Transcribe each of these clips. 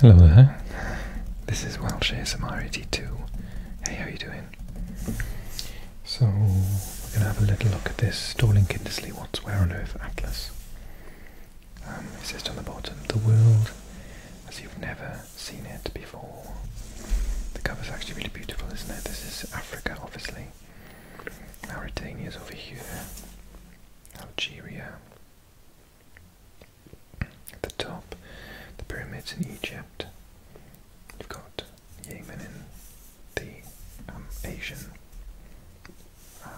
Hello there. This is Welsh ASMR Two. Hey, how are you doing? So we're going to have a little look at this Stalling Kindersley What's Where on Earth Atlas. Um, it's just on the bottom, the world as you've never seen it before. The cover's actually really beautiful, isn't it? This is Africa, obviously. Mauritania is over here. Algeria, at the top, the pyramids in Egypt. You've got Yemen in the um, Asian uh,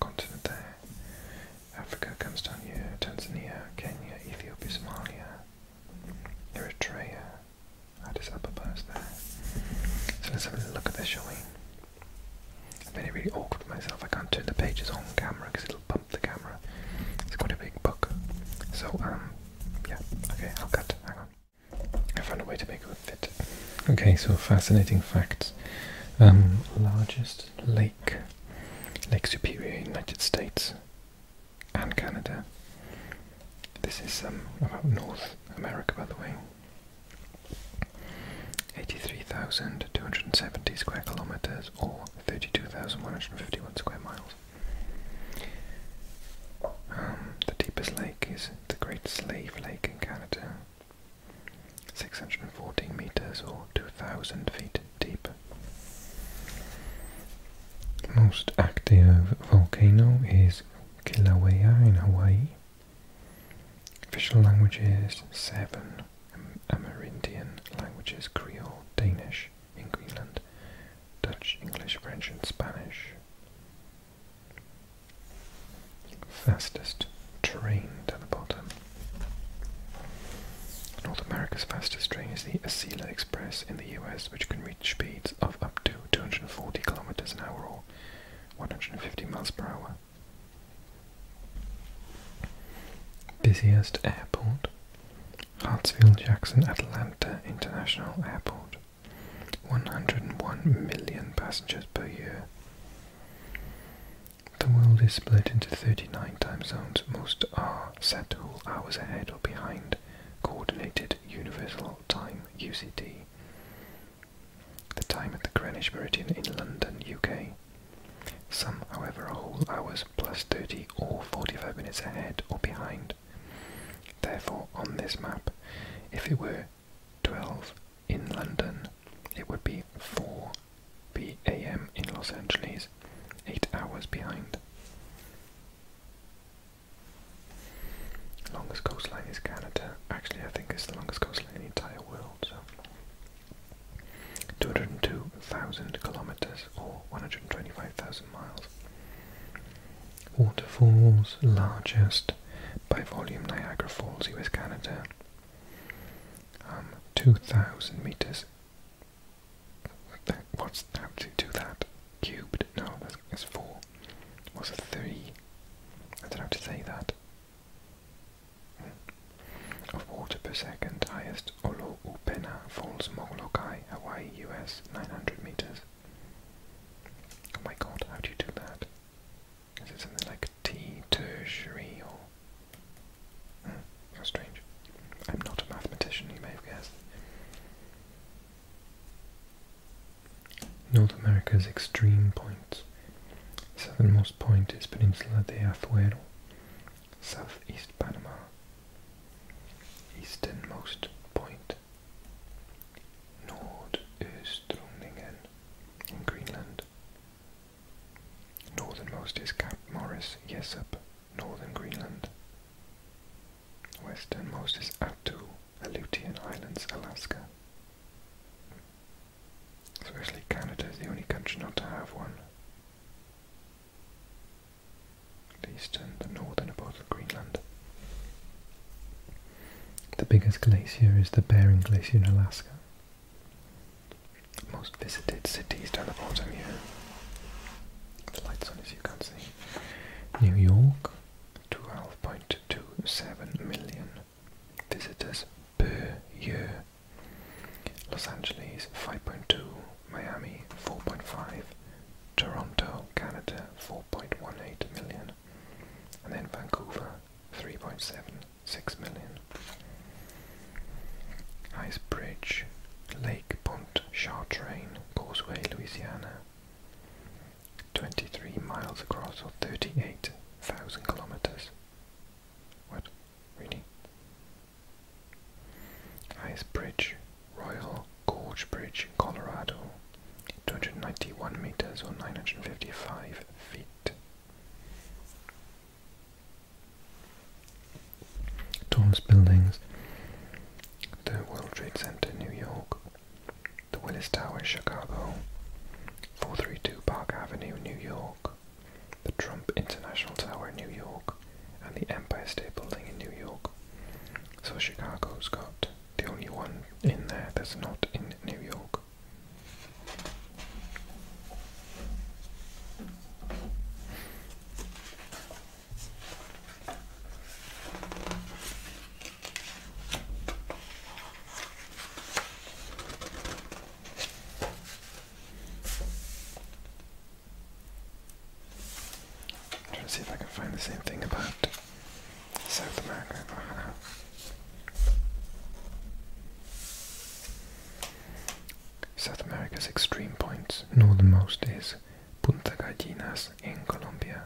continent there. Africa comes down here, Tanzania, Kenya, Ethiopia, Somalia, Eritrea, Addis Ababa there. So let's have a look at this, shall I'm getting really awkward with myself. I can't turn the pages on camera because it'll bump the camera. It's quite a big book. So, um, yeah, okay, I'll cut. Hang on. I found a way to make it fit. Okay, so fascinating facts. Um, largest lake, Lake Superior, United States and Canada. This is um, about North America, by the way. 83,270 square kilometres or 32,151 square miles. Um, the deepest lake is the Great Slave Lake in Canada, 614 metres or 2,000 feet deep. Most active volcano is Kilauea in Hawaii, Official languages 7 Amerindian languages Creole, Danish in Greenland, Dutch, English, French, and Spanish. Fastest train to the bottom. North America's fastest train is the Acela Express in the US, which can reach speeds of up to 240 kilometers an hour or 150 miles per hour. Busiest airport Hartsfield Jackson Atlanta International Airport. 101 million passengers per year. The world is split into 39 time zones. Most are set all hours ahead or behind Coordinated Universal Time (UTC) the time at the Greenwich Meridian in London, UK. Some, however, are whole hours plus 30 or 45 minutes ahead or behind. Therefore, on this map, if it were 12 in London, it would be 4 p.m. in Los Angeles, 8 hours behind. Longest coastline is Canada. Actually, I think it's the longest coastline the entire world. So, 202,000 kilometers or 125,000 miles. Waterfalls, largest by volume Niagara Falls, US Canada. Um, 2,000 meters. That, what's that to that? Cubed? No, that's, four. What's a three? I don't have to say that of water per second, highest Oloupena Falls, Molokai, Hawaii, US, 900 meters. Oh my god, how do you do that? Is it something like T tertiary or. Hmm, how strange. I'm not a mathematician, you may have guessed. North America's extreme point. Southernmost point is Peninsula de Azuero, southeast Panama. Easternmost point. Nordöstrundingen in Greenland. Northernmost is Cape Morris, Jessup, northern Greenland. Westernmost is Attu, Aleutian Islands, Alaska. Especially Canada is the only country not to have one. At least the northern part of Greenland. The biggest glacier is the Bering Glacier in Alaska. Most visited cities down the bottom here. The lights on as you can see. New York, 12.2 to 7 million visitors per year. Los Angeles 5.2, Miami 4.5, Toronto, Canada 4.18 million, and then Vancouver 3.76 million. Ice Bridge, Lake Pont Chartrain, Causeway, Louisiana 23 miles across or 38,000 kilometers. What? Really? Ice bridge, Royal Gorge Bridge in Colorado, 291 meters or 955 feet. Tallest buildings, the World Trade Center, New York, the Willis Tower, in Chicago. 432 Park Avenue, New York. The Trump International Tower, in New York. And the Empire State Building in New York. So Chicago's got the only one in there that's not in New York trying to see if I can find the same thing about South America. South America's extreme points, northernmost is Punta Gallinas in Colombia.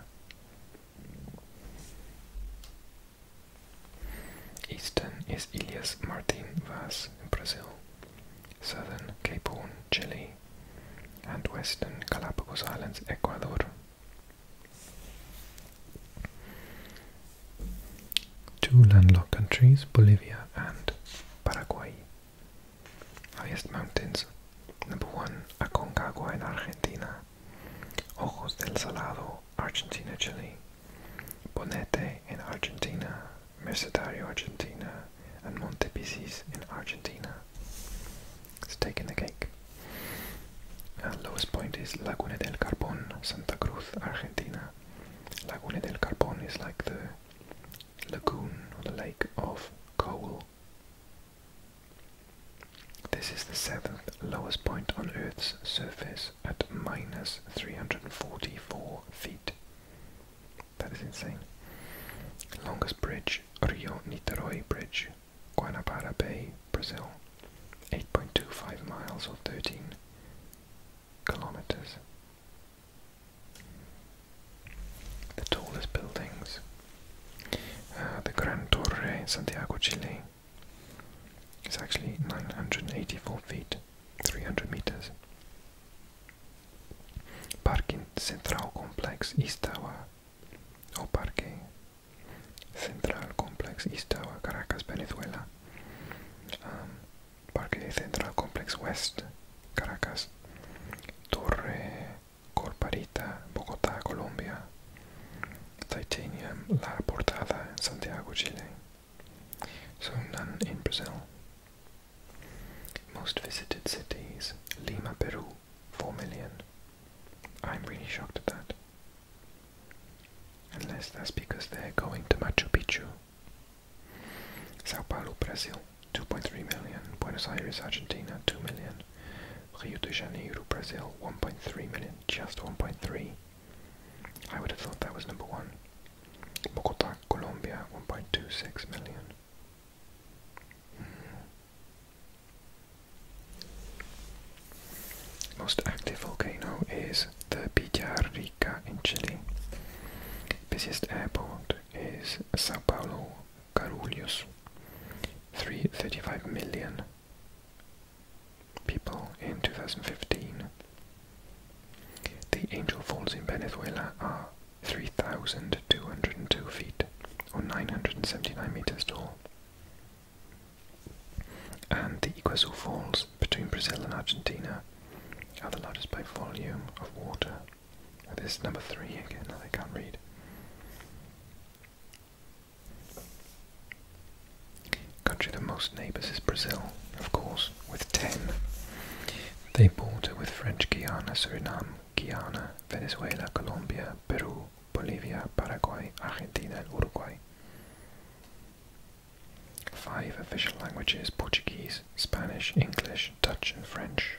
Eastern is Ilhas Martin Vas in Brazil, southern Cape Horn, Chile, and western Galapagos Islands, Ecuador. Two landlocked countries, Bolivia and Paraguay. Highest mountains Number one, Aconcagua in Argentina. Ojos del Salado, Argentina, Chile. Bonete in Argentina, Mercedario, Argentina, and Montepisis in Argentina. It's taking the cake. And uh, lowest point is Laguna del Carbon, Santa Cruz, Argentina. Laguna del Carbon is like the lagoon or the lake of coal this is the seventh lowest point on Earth's surface at minus 344 feet. That is insane. Longest bridge, Rio Niterói Bridge, Guanabara Bay, Brazil. 8.25 miles or 13 kilometers the tallest buildings, uh, the Gran Torre in Santiago, Chile, is actually 984 feet, 300 meters. Parque Central Complex East Tower, or Parque Central Complex East Tower, Caracas, Venezuela. Um, Parque Central Complex West, Caracas. Torre Corparita, Bogotá, Colombia, Titanium, La Portada Santiago, Chile, so none in Brazil. Most visited cities, Lima, Peru, 4 million. I'm really shocked at that. Unless that's because they're going to Machu Picchu. Sao Paulo, Brazil, 2.3 million, Buenos Aires, Argentina, 2 million, Rio de Janeiro, Brazil, 1.3 million, just 1.3. I would have thought that was number one. Bogota, Colombia, 1.26 million. Hmm. Most active volcano is the Villarrica in Chile. Busiest airport is Sao Paulo Karolius. 335 million people in 2015. The Angel Falls in Venezuela are 3,202 feet or 979 meters tall. And the Iguazu Falls between Brazil and Argentina are the largest by volume of water this is number three again I can't read. Country that most neighbours is Brazil, of course, with ten. They border with French Guiana, Suriname, Guyana, Venezuela, Colombia, Peru, Bolivia, Paraguay, Argentina, and Uruguay. Five official languages Portuguese, Spanish, English, Dutch, and French.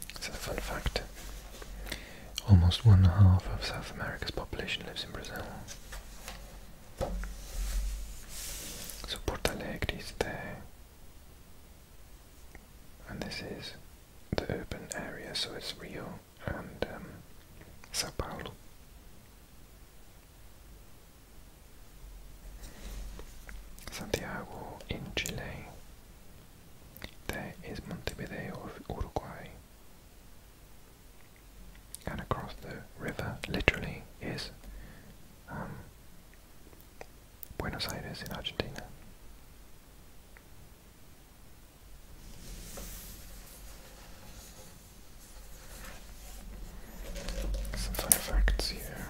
It's a fun fact. Almost one half of South America's population lives in Brazil. So Porto is there. And this is the urban area, so it's Rio and um, Sao Paulo. Santiago in Chile there is Montevideo of Uruguay. And across the river, literally, is um, Buenos Aires in Argentina. Some fun facts here.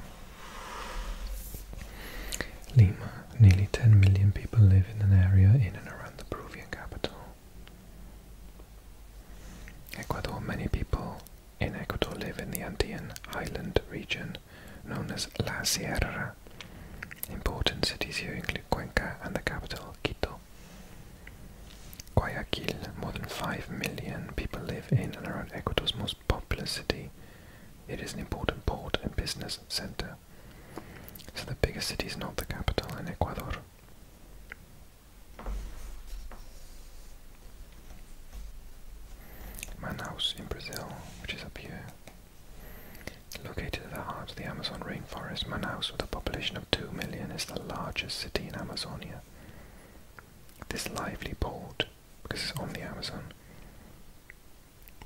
Lima Nearly 10 million people live in an area in and around the Peruvian capital. Ecuador, many people in Ecuador live in the Andean island region known as La Sierra. Important cities here include Cuenca and the capital, Quito. Guayaquil, more than 5 million people live in and around Ecuador's most populous city. It is an important port and business center. So the biggest city is not the capital in Ecuador. Manaus in Brazil, which is up here. Located at the heart of the Amazon rainforest, Manaus, with a population of 2 million, is the largest city in Amazonia. This lively port, because it's on the Amazon,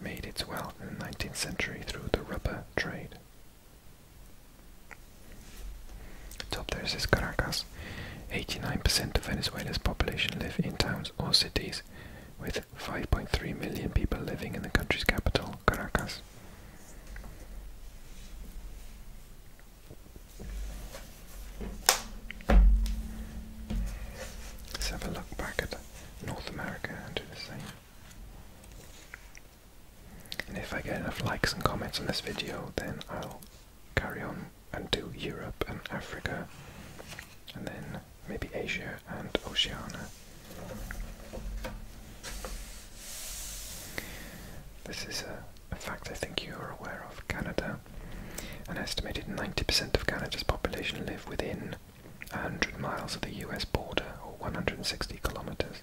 made its wealth in the 19th century through the rubber trade. Top there Caracas. 89% of Venezuela's population live in towns or cities, with 5.3 million people living in the country's capital, Caracas. Let's have a look back at North America and do the same. And if I get enough likes and comments on this video, then I'll carry on and do Europe and Africa, and then maybe Asia and Oceania. This is a, fact I think you are aware of Canada. An estimated 90% of Canada's population live within 100 miles of the US border, or 160 kilometers.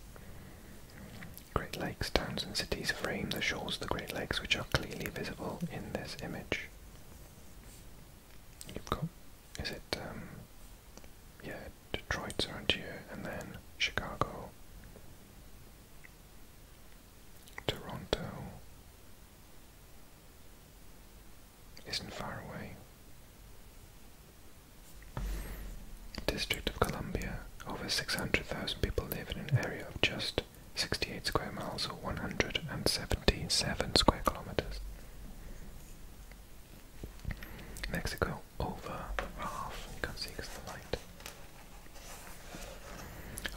Great Lakes, towns and cities frame the shores of the Great Lakes, which are clearly visible in this image. You've got, is it, um, yeah, Detroit's around here, and then Chicago, Toronto, isn't far away. District of Columbia, over 600,000 people live in an area of just 68 square miles or 177 square kilometers. Mexico, over half, you can't see because of the light.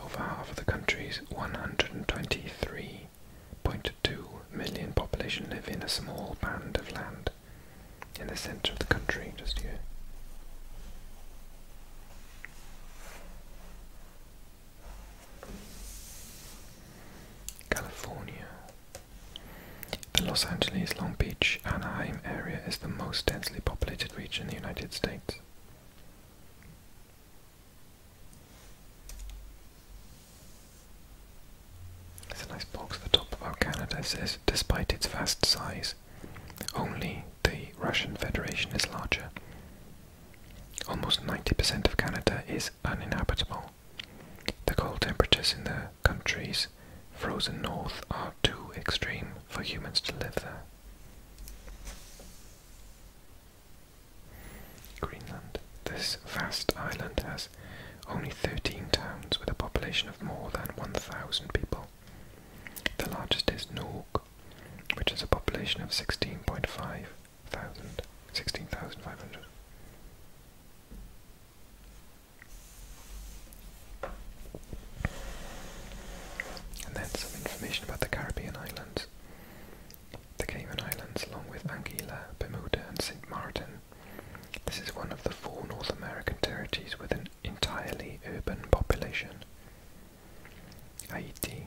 Over half of the country's 123 0.2 million population live in a small band of land in the center of the country, just here. California. The Los Angeles, Long Beach, Anaheim area is the most densely populated region in the United States. There's a nice box at the top about Canada. says, despite its vast size, only the Russian Federation is larger. Almost 90% of Canada is uninhabitable. The cold temperatures in the country's frozen north are too extreme for humans to live there. Greenland. This vast island has only 13 towns with a population of more than 1,000 people. The largest is Norg, which has a population of 16.5 thousand, And then some information about the Caribbean islands the Cayman Islands along with Anguilla, Bermuda and St. Martin. This is one of the four North American territories with an entirely urban population. Haiti.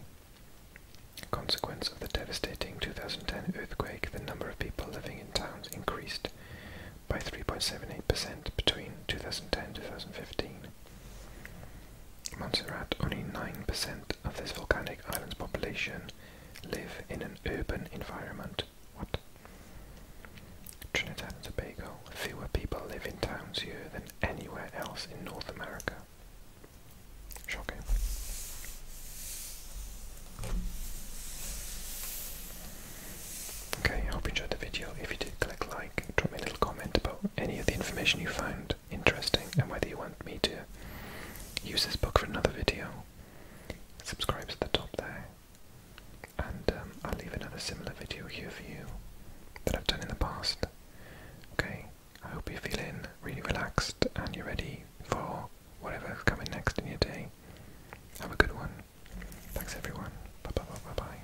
A consequence of the devastating 2010 earthquake, the number of people living in towns increased by 3.78% between 2010 and 2015. Montserrat, only 9% of this volcanic island's population live in an urban environment. What? Trinidad and Tobago, fewer people live in towns here than anywhere else in North America. Shocking. Okay, I hope you enjoyed the video. If you did, click like, drop me a little comment about any of the information you found interesting and whether you want me to use this book for another video. Subscribe to the top there, and um, I'll leave another similar video here for you that I've done in the past. Okay, I hope you're feeling really relaxed and you're ready for whatever's coming next in your day. Have a good one. Thanks everyone. Bye bye bye bye bye.